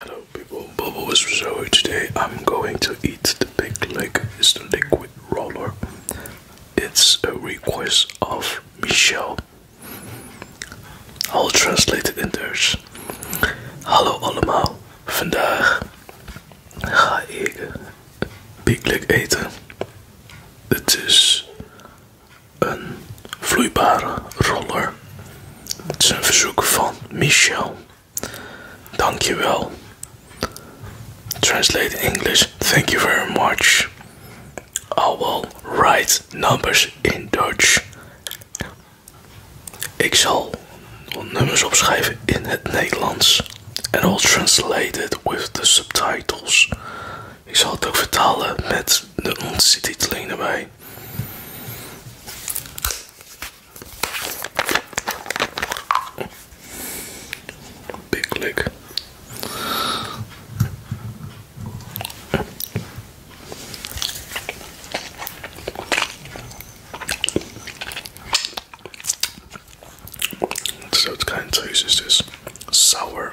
Hello people, Bubble was so today I'm going to eat the big leg. It's the liquid roller. It's a request of Michelle. I'll translate it in Dutch. Hallo allemaal, vandaag ga ik big leg eten. It is a een roller Het is een verzoek van Michel. Dankjewel. Translate English. Thank you very much. I will write numbers in Dutch. Ik zal nummers opschrijven in het Nederlands. En I'll translate it with the subtitles. Ik zal het ook vertalen met de onze bij. Big lick. So kind of tastes sour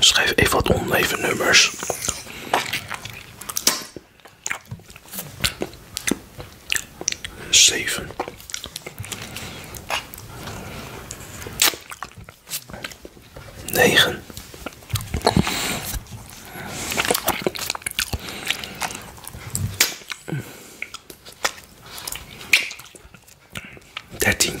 Schrijf even wat oneven nummers. Zeven. Negen. tien.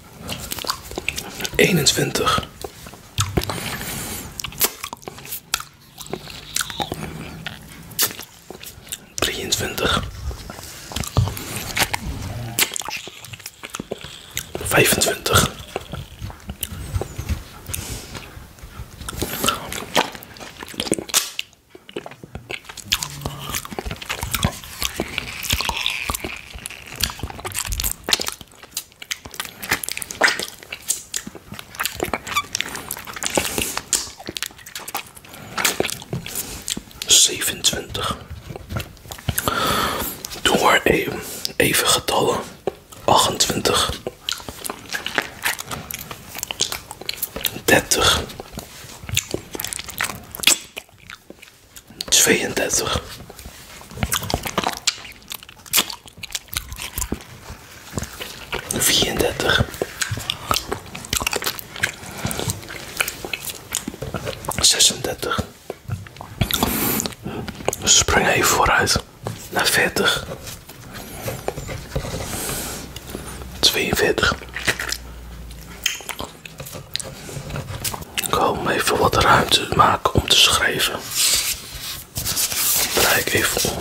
21. Drieëntwintig. Vijfentwintig. 27. Doe maar even, even getallen. 28. 30. 32. Vierendertig. Zesendertig. Spring vooruit naar 40. Kom even wat ruimte maken om te schrijven. Draai ik even om.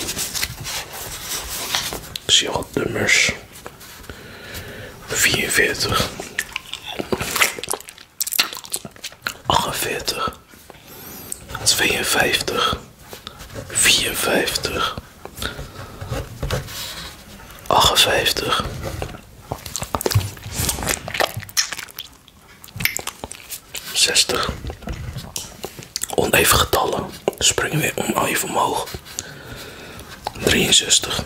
zie wat nummers. 44. 48. 52. 54. 58. 60. Oneven getallen. Springen we om weer oneven omhoog. 63.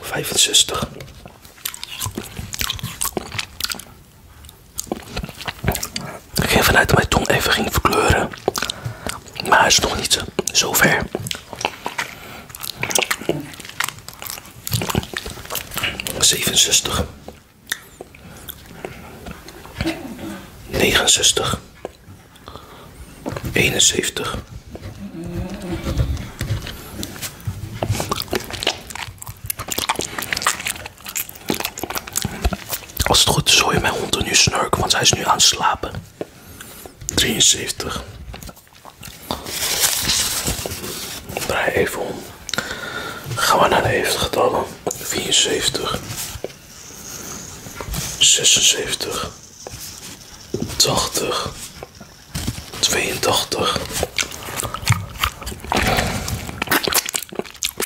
65. Ik ging vanuit mijn tong even ging verkleuren. Maar het is nog niet zo ver. Zevenenzestig. 69 71 als het goed is, hoor je mijn hond er nu snurken, want hij is nu aan het slapen. 73. Draai even om. Gaan we naar de getallen. 74. 76. 80. 82.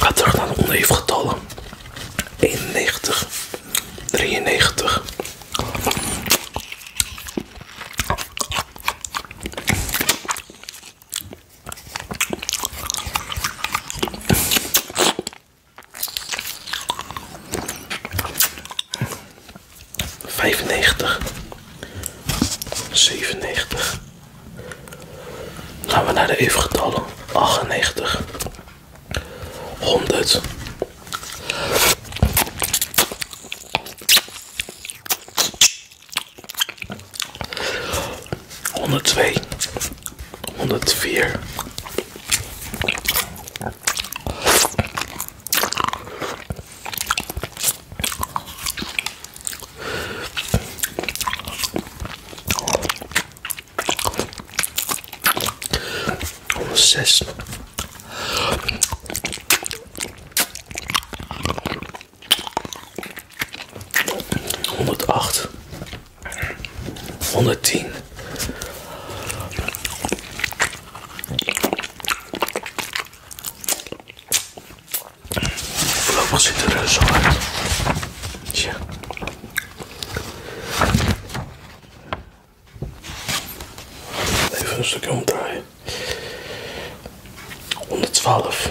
Ga terug naar de oneven getallen. 91, 93, 95, 97. Gaan we naar de evengetallen. 98. 100. 102. 104. Zes. Honderd 110. Voorlopig ziet er zo Tja. Even een stukje omdraaien. 112.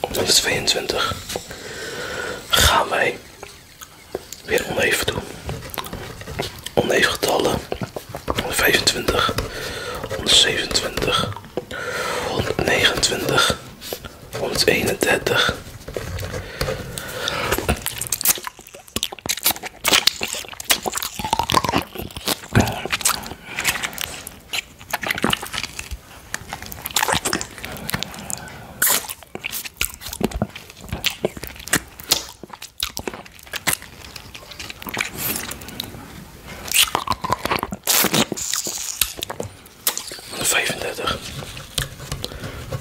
Op de 22 gaan wij weer oneven doen. Oneven getallen. 125, 127, 129, 131. 35.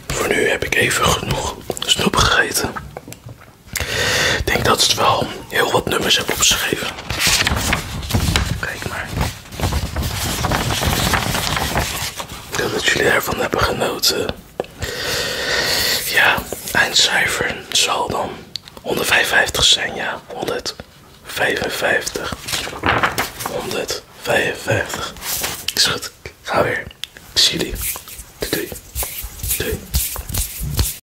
Voor nu heb ik even genoeg snoep gegeten. denk dat het wel heel wat nummers heb opgeschreven. Kijk maar. Ik hoop dat jullie ervan hebben genoten. Ja, eindcijfer zal dan 155 zijn, ja. 155. 155. Is goed. Ga weer. Ik zie jullie.